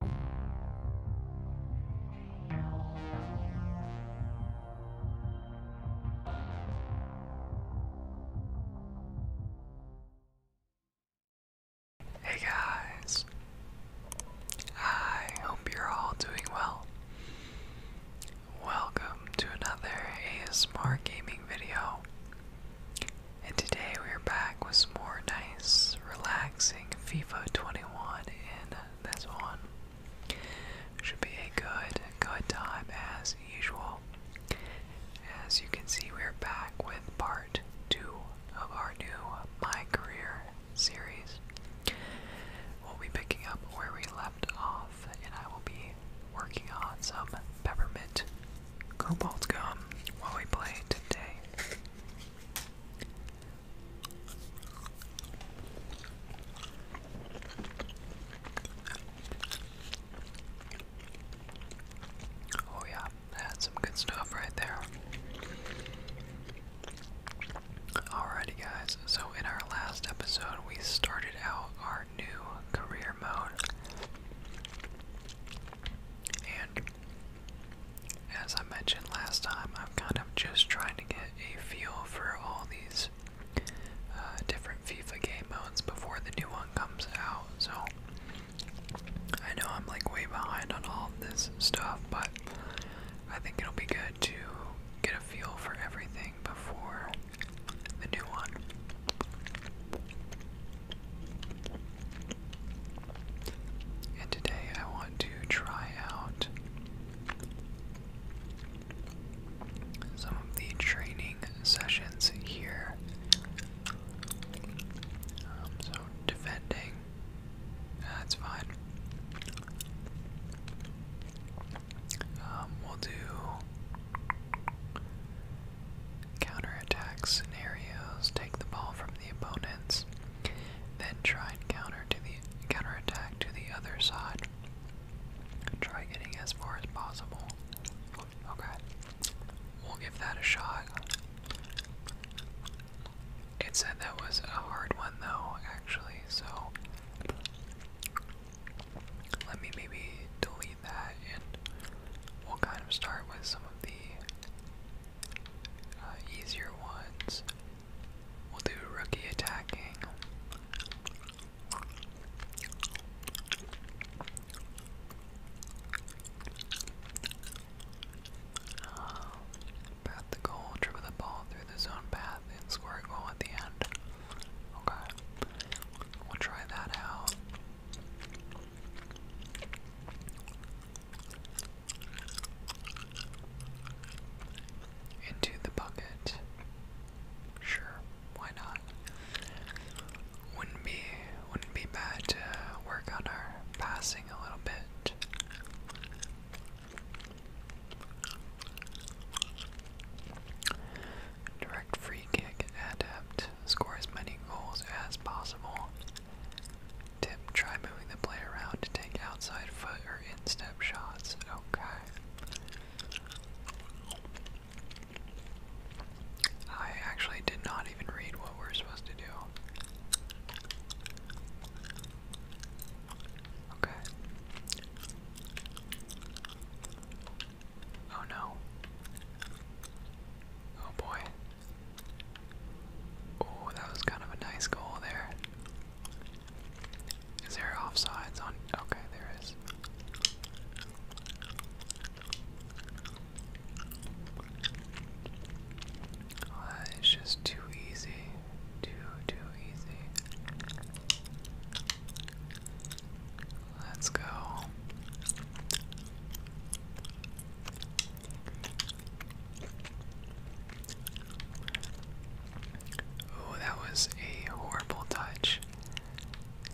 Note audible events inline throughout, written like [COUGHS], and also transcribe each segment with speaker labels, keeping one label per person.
Speaker 1: Hey guys, I hope you're all doing well. Welcome to another ASMR gaming video, and today we're back with more nice, relaxing using FIFA 21 and this one. Should be a good, good time as usual. As you can see, we're back with part two of our new My Career series. We'll be picking up where we left off, and I will be working on some peppermint cobalt gum while we play today. Oh, yeah, that's some good stuff right there. Alrighty, guys, so in our last episode, we started out our new career mode. And as I mentioned last time, I'm kind of just trying to get a feel for all these uh, different FIFA game modes before the new one comes out. So I know I'm like way behind on all this stuff, but I think it'll be good to get a feel for everything before the new one. And today I want to try out some of the training sessions here. Um, so, defending, that's fine. Um, we'll do counterattack scenarios, take the ball from the opponents. Then try counter to the counterattack to the other side. Try getting as far as possible. Okay. We'll give that a shot. It said that was a hard one though, actually, so let me maybe delete that and we'll kind of start with some of the uh, easier ones. We'll do rookie attacking. Uh, path goal, dribble the ball through the zone path, and score a goal at the end. Okay, we'll try that out into the bucket. Sure, why not? Wouldn't be wouldn't be bad to work on our passing a little bit. Direct free kick adept. Score as many goals as possible. Tip, try moving the play around to take outside foot or instep shots. Okay. I actually did not even read what we're supposed to do. Okay. Oh no. Oh boy. Oh, that was kind of a nice goal there. Is there offsides on? Okay, there is. Oh, just too easy. Too, too easy. Let's go. Oh, that was a horrible touch.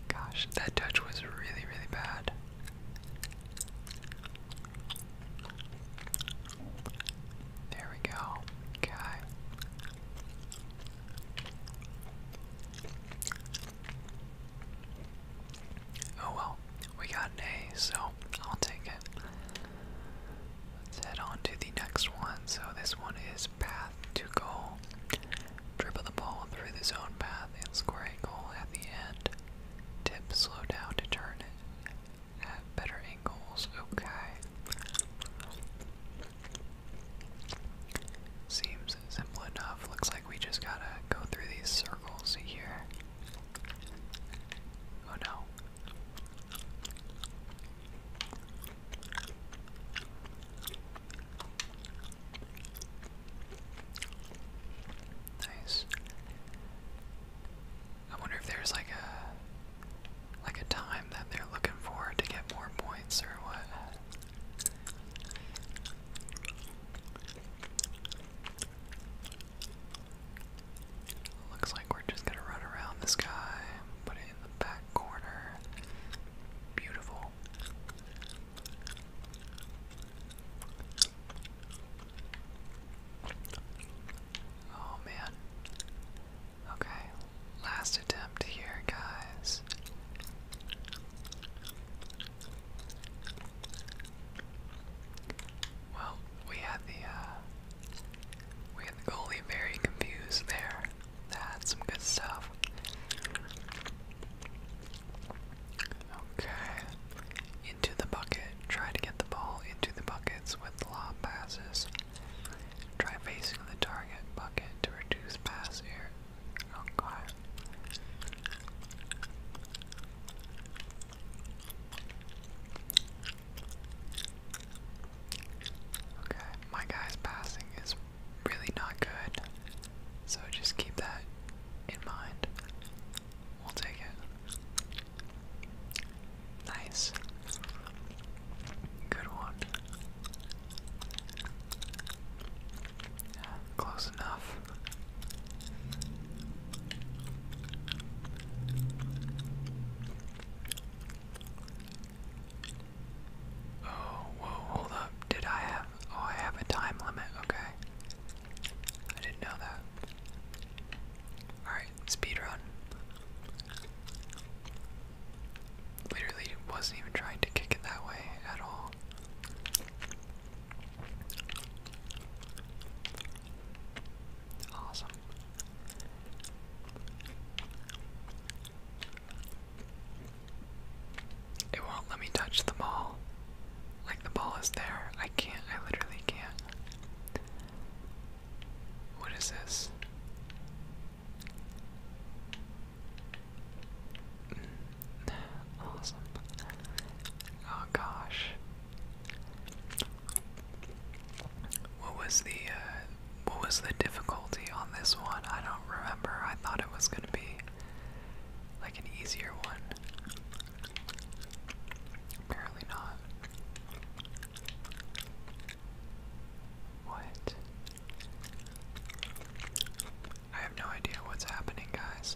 Speaker 1: Gosh, that touch was really, really bad. There we go. Okay. Oh well. We got an A, so I'll take it. Let's head on to the next one. So this one is path to goal. Dribble the ball through the zone path and score a goal at the end. Tip slow down to turn it at better angles. Okay. Seems simple enough. Looks like we just gotta go through these circles here. Oh no. Nice. I wonder if there's like a like a time that they're looking for to get more points or what. Looks like we're just gonna run around this guy, put it in the back corner. Beautiful. Oh man. Okay, last attempt here, guys. Well, we had the uh, we had the goalie very confused there. That's some good stuff. Okay, into the bucket. Try to get the ball into the buckets with lob passes. Try facing the target bucket to reduce pass error. Okay. Okay, my guy's passing is really not good, so just keep that in mind. We'll take it. Nice. Good one. Yeah, close enough. Oh, whoa, hold up. Did I have. Oh, I have a time limit. Okay. I didn't know that. Alright, speed run. Literally wasn't even trying to kick it that way at all. Awesome. It won't let me touch the ball. Like the ball is there. I can't. I literally can't. What is this? Hmm awesome. Oh gosh. What was the uh, what was the difficulty on this one? I don't remember. I thought it was gonna be like an easier one. Apparently not. What? I have no idea what's happening, guys.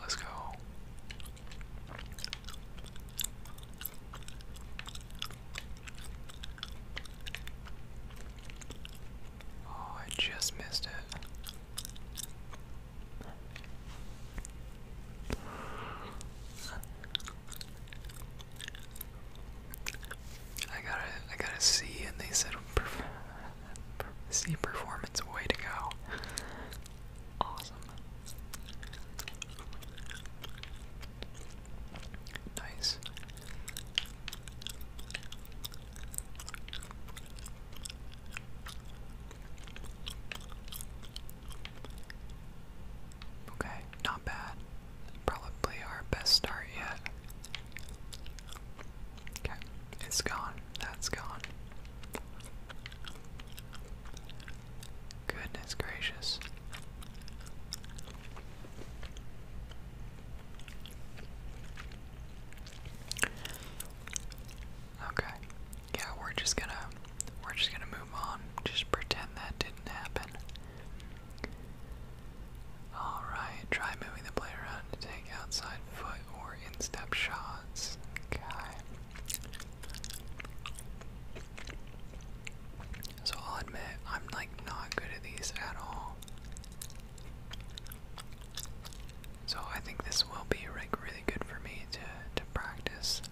Speaker 1: Let's go. Oh, I just missed it. I got a, I got a C, and they said See performance, way to go. Awesome. Nice. Okay, not bad. Probably our best start yet. Okay, it's gone. That's gone. Goodness gracious. Okay. Yeah, we're just gonna we're just gonna move on. Just pretend that didn't happen. Alright, try moving the player around to take outside foot or instep shots. Okay. So I'll admit, I'm like not good at these at all. So I think this will be like really good for me to to practice.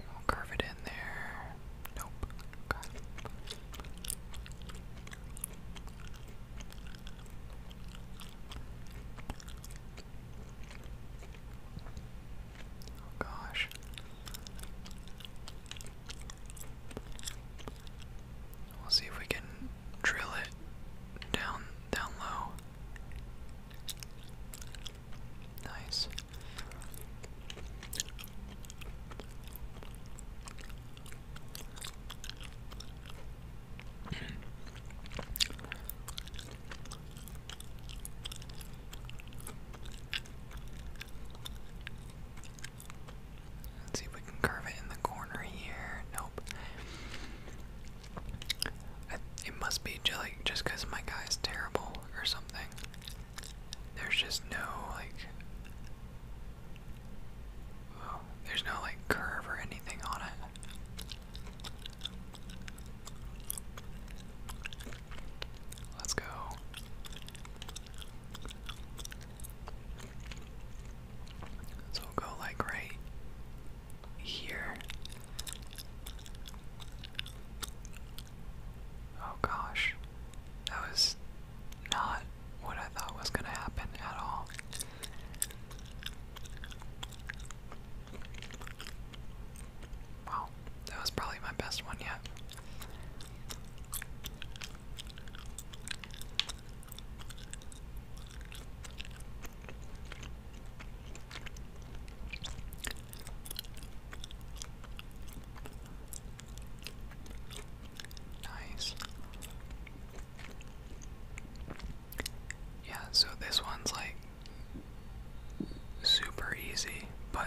Speaker 1: We'll curve it in there. Nope. Okay. Oh gosh. We'll see if we can drill it down down low. Nice. Let's see if we can curve it in the corner here. Nope. it must be jelly just because my guy is terrible or something. There's just no like Oh, there's no like curve or anything on it. Let's go. So will go like right here. Oh gosh. That was not what I thought was going to happen at all. Wow, that was probably my best one yet. Nice. Yeah, so this one's like super easy, but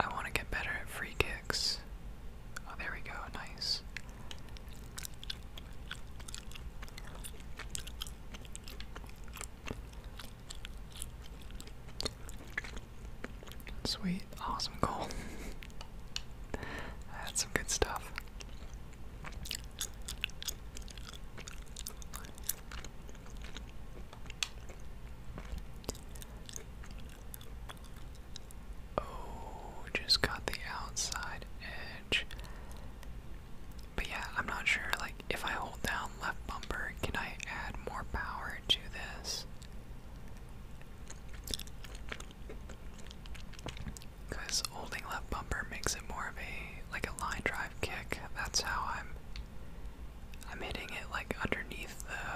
Speaker 1: I want to get better at free kicks. Oh, there we go. Nice. Sweet, awesome goal. [LAUGHS] That's some good stuff. Oh, just got the outside edge. But yeah, I'm not sure, like, if I hold down left bumper, can I add more power to this? Because holding left bumper makes it more of a like a line drive kick. That's how I'm I'm hitting it like underneath the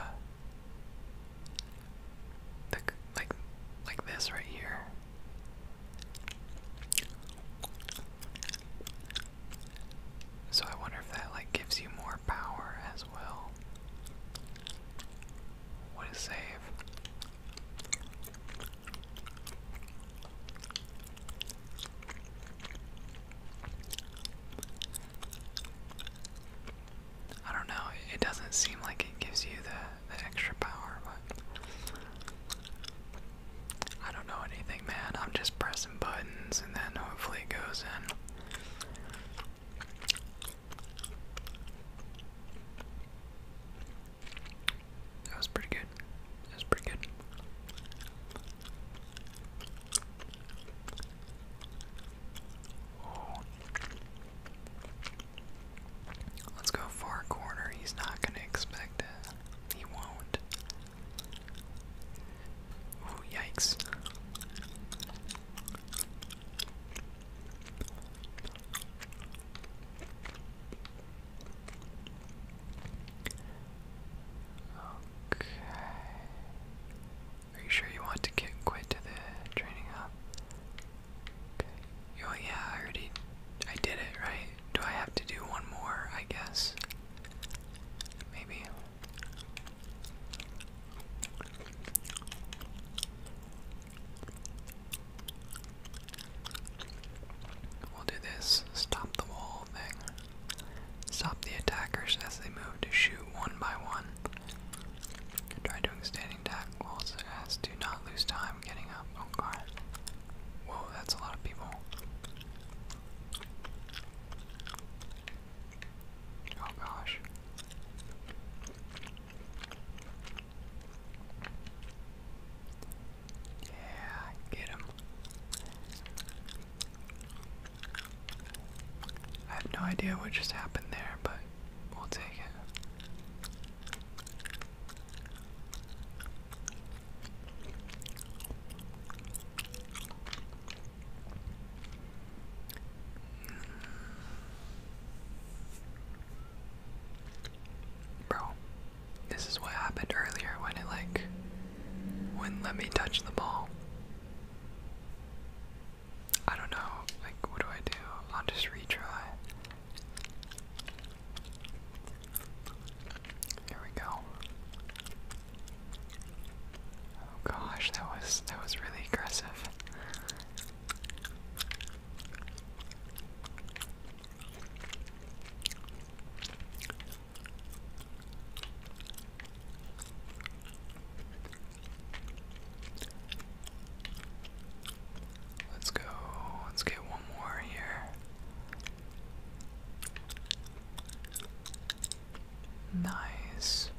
Speaker 1: the like like this right here. So I wonder if that like gives you more power as well. What save. I don't know, it doesn't seem like it gives you the, the extra power, but I don't know anything, man. I'm just pressing buttons and then hopefully it goes in. That was pretty good. That was pretty good. Let's go far corner. He's not going to expect it. He won't. Oh yikes. Okay. Are you sure you want to get quit to the training up? Oh yeah, I already I did it, right? Do I have to do one more, I guess? Maybe. We'll do this stop the wall thing. Stop the attackers as they move to shoot one by one. Try doing standing tackles as do not lose time getting up. Oh god. Whoa, that's a lot of people. Oh gosh. Yeah, get him. I have no idea what just happened there, but we'll take it. Bro, this is what happened earlier when it like wouldn't let me touch the ball. I don't know, like, what do I do? I'll just retry. Here we go. Oh gosh, that was that was really aggressive. Let's go. Let's get one more here. Nice.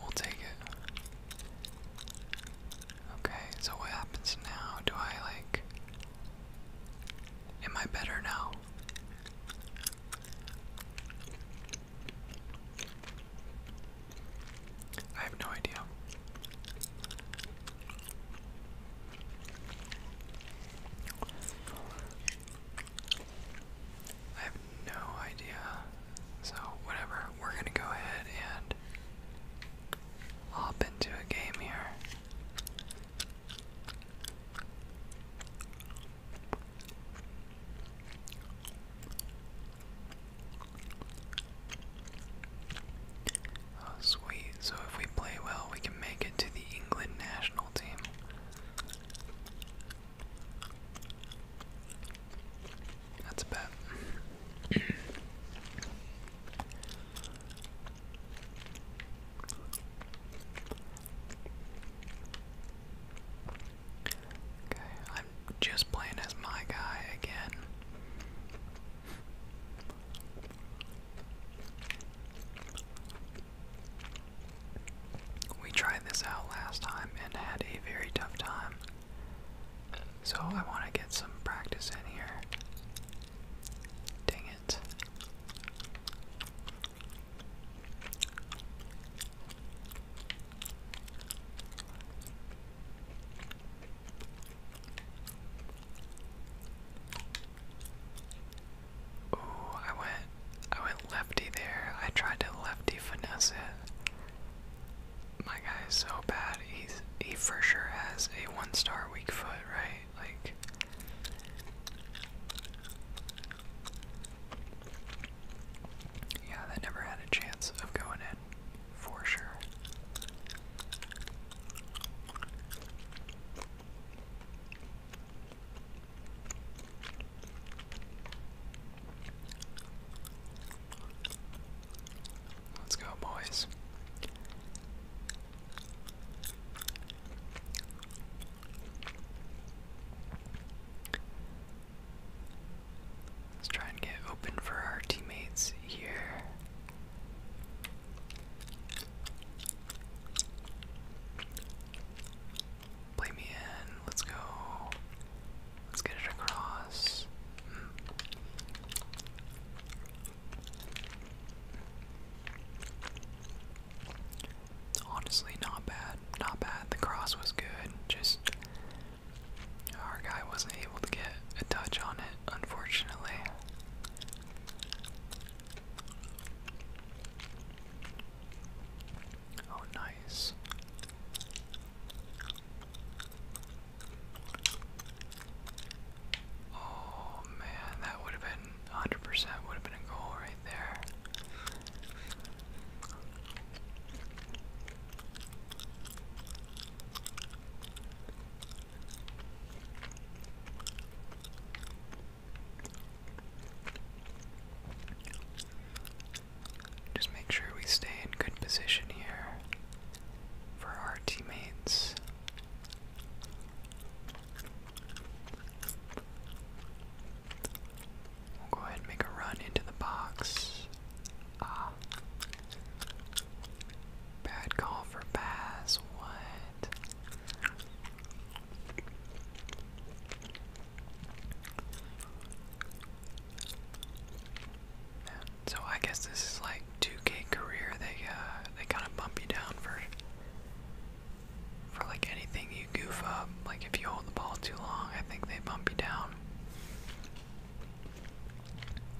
Speaker 1: We'll take it. Okay, so what happens now? Do I like. Am I better now? I have no idea. I have no idea. So, whatever, we're gonna go ahead and hop into a game here. Oh, sweet. So if we play well, we can make it to the England national team. That's a bet. [COUGHS] Okay, I'm just playing as my guy again. We tried this out last time and had a very tough time. So I want to get some practice in here. Dang it. Ooh, I went I went lefty there. I tried to lefty finesse it. My guy is so bad. He's he for sure has a one star weak foot, right? Like Yeah, that never had a chance of going in for sure. Let's go, boys. Let's try and get open for our teammates here. Play me in. Let's go. Let's get it across. Hmm. Honestly, not bad. Not bad. The cross was good. Just our guy wasn't able to get a touch on it, unfortunately. Oh, nice. Oh man, that would have been 100% would have been a goal right there. Just make sure we stay in good position here for our teammates. We'll go ahead and make a run into the box. Ah. Bad call for pass. What? So I guess this is like 2K career. They uh, they kind of bump you down for for like anything you goof up. Like if you hold the ball too long, I think they bump you down.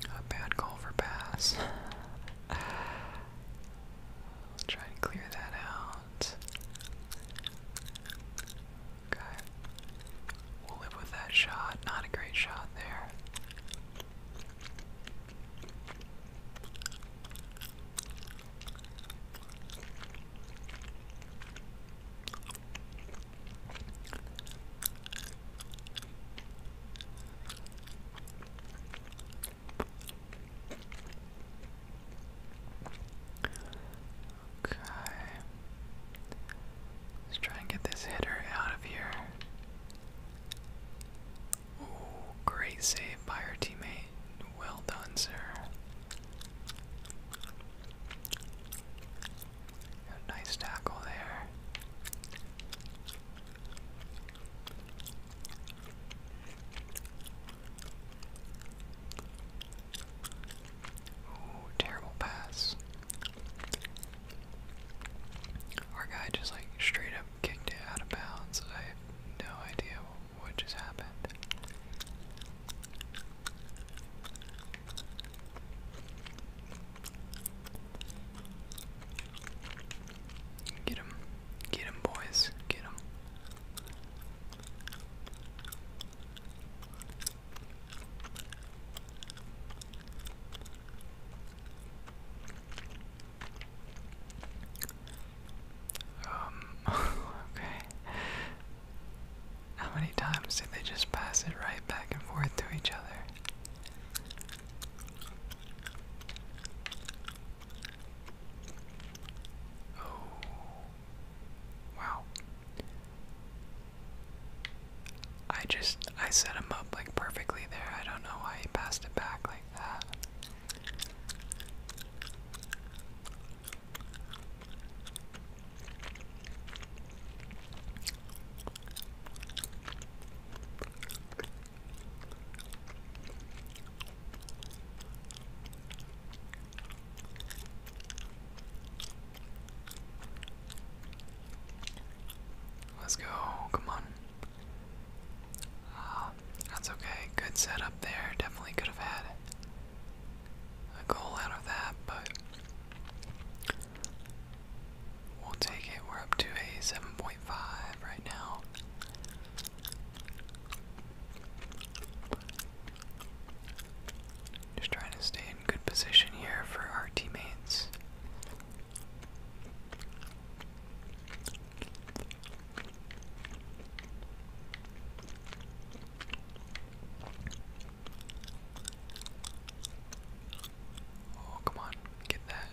Speaker 1: A bad call for pass. I'll try and clear that out. Okay. We'll live with that shot. Not a great shot there. Okay. Let's try and get this hitter out of here. Ooh, great save by our teammate. Well done, sir. nice tackle there. Oh, terrible pass. Our guy just like straight up kicked it out of bounds. I have no idea what just happened. Get him. Get him, boys. Get him. Um, [LAUGHS] okay. How many times did they just pass it right back and forth to each other? Oh, wow. I just, I set him up like perfectly there. I don't know why he passed it back like that. Let's go. Come on. Uh, that's okay. Good setup there. Definitely could have had a goal out of that, but We'll take it. We're up to a 7.5 right now. Just trying to stay in good position here for our teammates. Oh, come on, get that.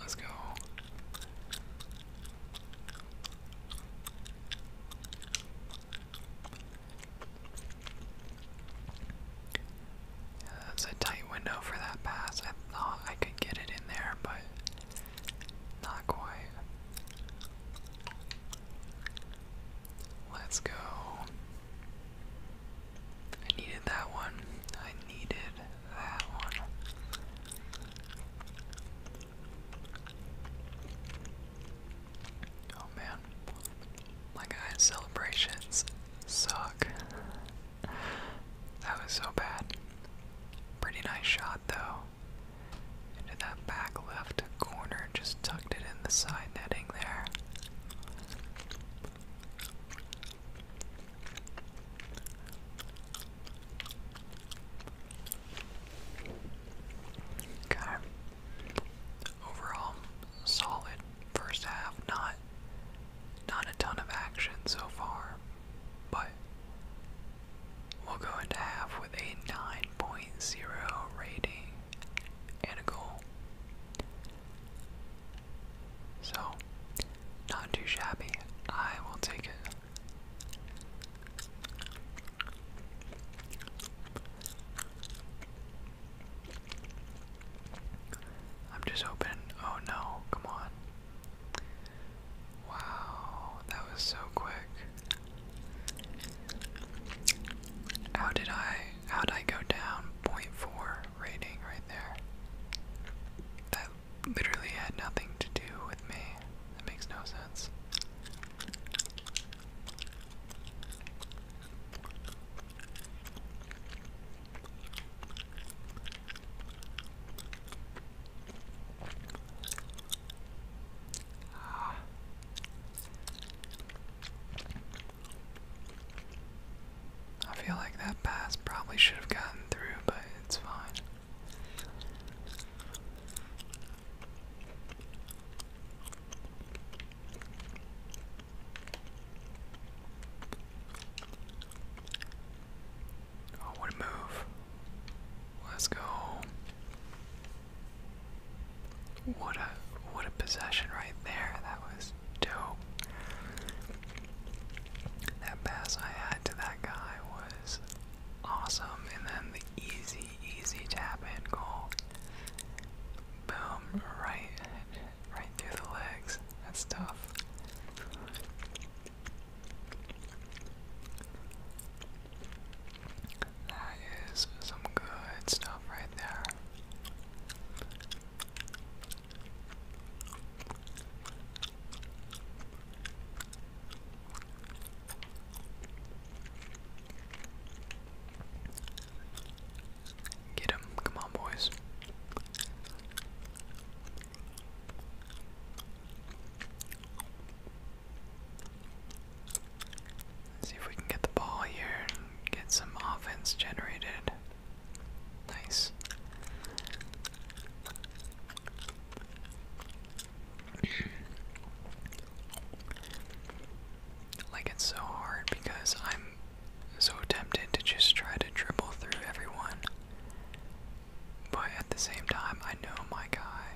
Speaker 1: Let's go. that's a tight window for that pass. I thought I could get it in there, but not quite. Let's go. I needed that one. I needed that one. Oh man, my guy's celebrations suck. That was so bad. Pretty nice shot though. Into that back left corner, just tucked it in the side netting there. Okay. Overall, solid first half. Not not a ton of action so far, but we'll go into half with a 9.0 rating and a goal. So, not too shabby. I will take it. I'm just hoping. Oh no, come on. Wow, that was so quick. How did I how did I go down 0.4? rating right there. That literally had nothing to do with me. That makes no sense. Ah. I feel like that pass probably should have gotten through, but it's fine. Oh, what a move. Let's go. What a what a possession right there. That was dope. That pass I had to that guy was awesome, and then the easy, easy tap in goal. Boom, right, right through the legs. That's tough. That is some good stuff right there. Get him. Come on, boys. see if we can get the ball here and get some offense generated. Nice. [CLEARS THROAT] like it's so hard because I'm so tempted to just try to dribble through everyone. But at the same time, I know my guy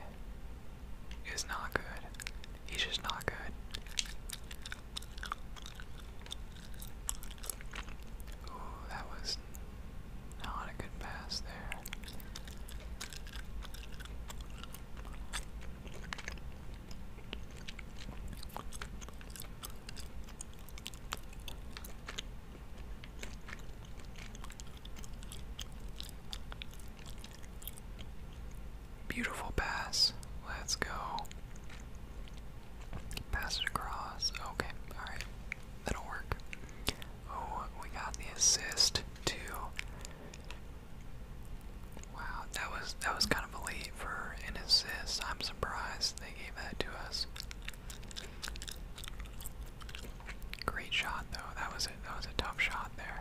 Speaker 1: is not good. He's just not good. Ooh, that was not a good pass there. Beautiful pass. Let's go. Pass it across. Okay, alright. That'll work. Oh, we got the assist too. Wow, that was that was kind of a elite for an assist. I'm surprised they gave that to us. Great shot though. That was a That was a tough shot there.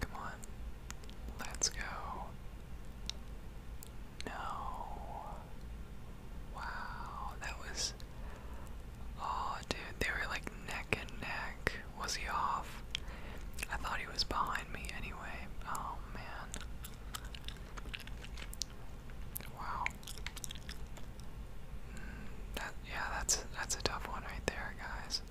Speaker 1: Come on. Let's go. No. Wow, that was. Oh, dude, they were like neck and neck. Was he off? I thought he was behind me anyway. Oh, man. Wow. Mm, that, yeah, that's, that's a tough one right there, guys.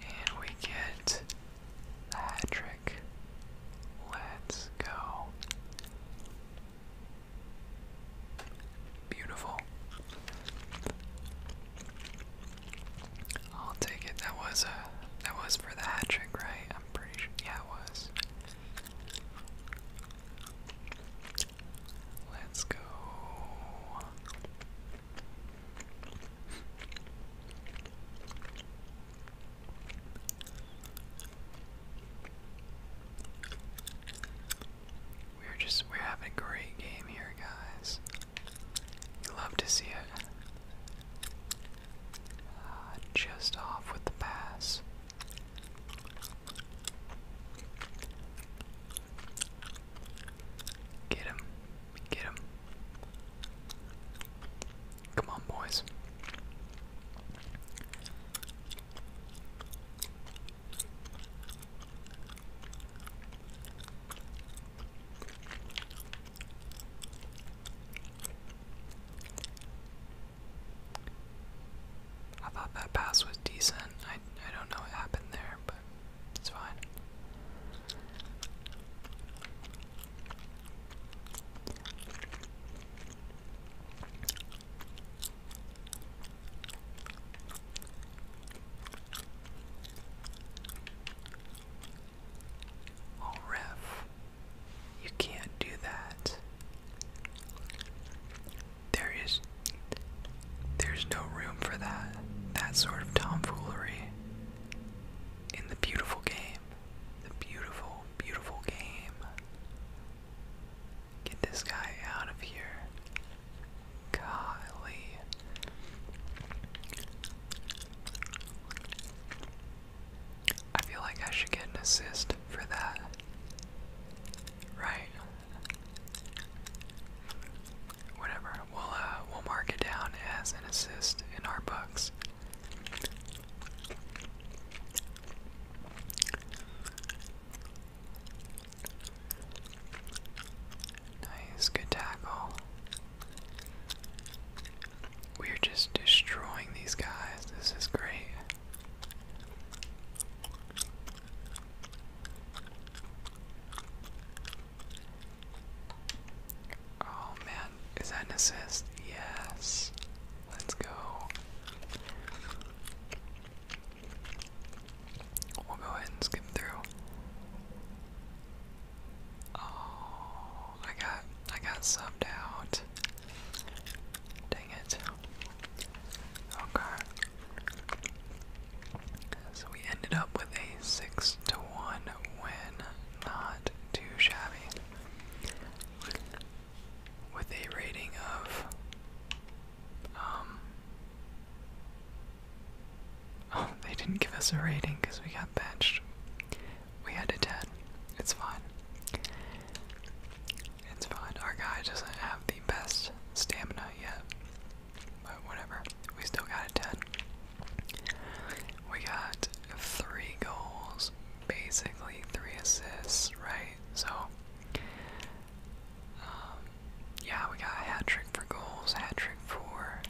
Speaker 1: And we get the hat trick. Let's go. Beautiful. I'll take it. That was a uh, that was for the hat trick, right? I'm pretty sure. Yeah, it was. Let's go. We're just we're having a great game here, guys. love to see it. Uh, just off with the pass. Get him. Get him. Come on, boys. I thought that pass was decent. I, I don't know what happened there, but it's fine. Oh, ref. You can't do that. There is there's no room for that. That sort of tomfoolery in the beautiful game. The beautiful, beautiful game. Get this guy out of here. Golly. I feel like I should get an assist for that. Right. Whatever. We'll uh, we'll mark it down as an assist in our books. Nice, good tackle. We are just destroying these guys. This is great. Oh man, is that an Yes. Let's go. We'll go ahead and skip through. Oh, I got I got subbed out. Dang it. Okay. So we ended up with a 6 to 1 win. Not too shabby. With a rating of. Oh, [LAUGHS] they didn't give us a rating because we got benched. We had a 10. It's fine. It's fine. Our guy doesn't have the best stamina yet. But whatever. We still got a 10. We got three goals, basically three assists, right? So, um, yeah, we got a hat trick for goals, hat trick for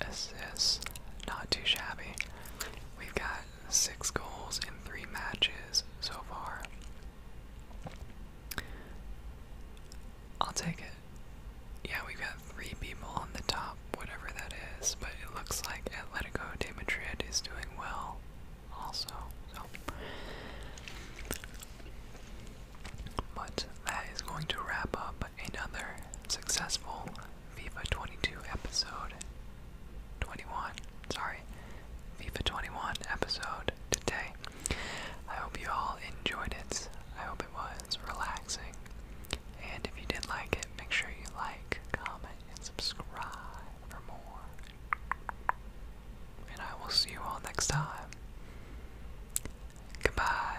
Speaker 1: assists. Not too shabby. We've got six goals in three matches so far. I'll take it. Yeah, we've got three people on the top, whatever that is, but it looks like Atletico Madrid is doing well also. So. But that is going to wrap up another successful FIFA 22 episode 21. Sorry, FIFA 21 episode today. I hope you all enjoyed it. I hope it was relaxing. And if you did not like it, make sure you like, comment, and subscribe for more. And I will see you all next time. Goodbye.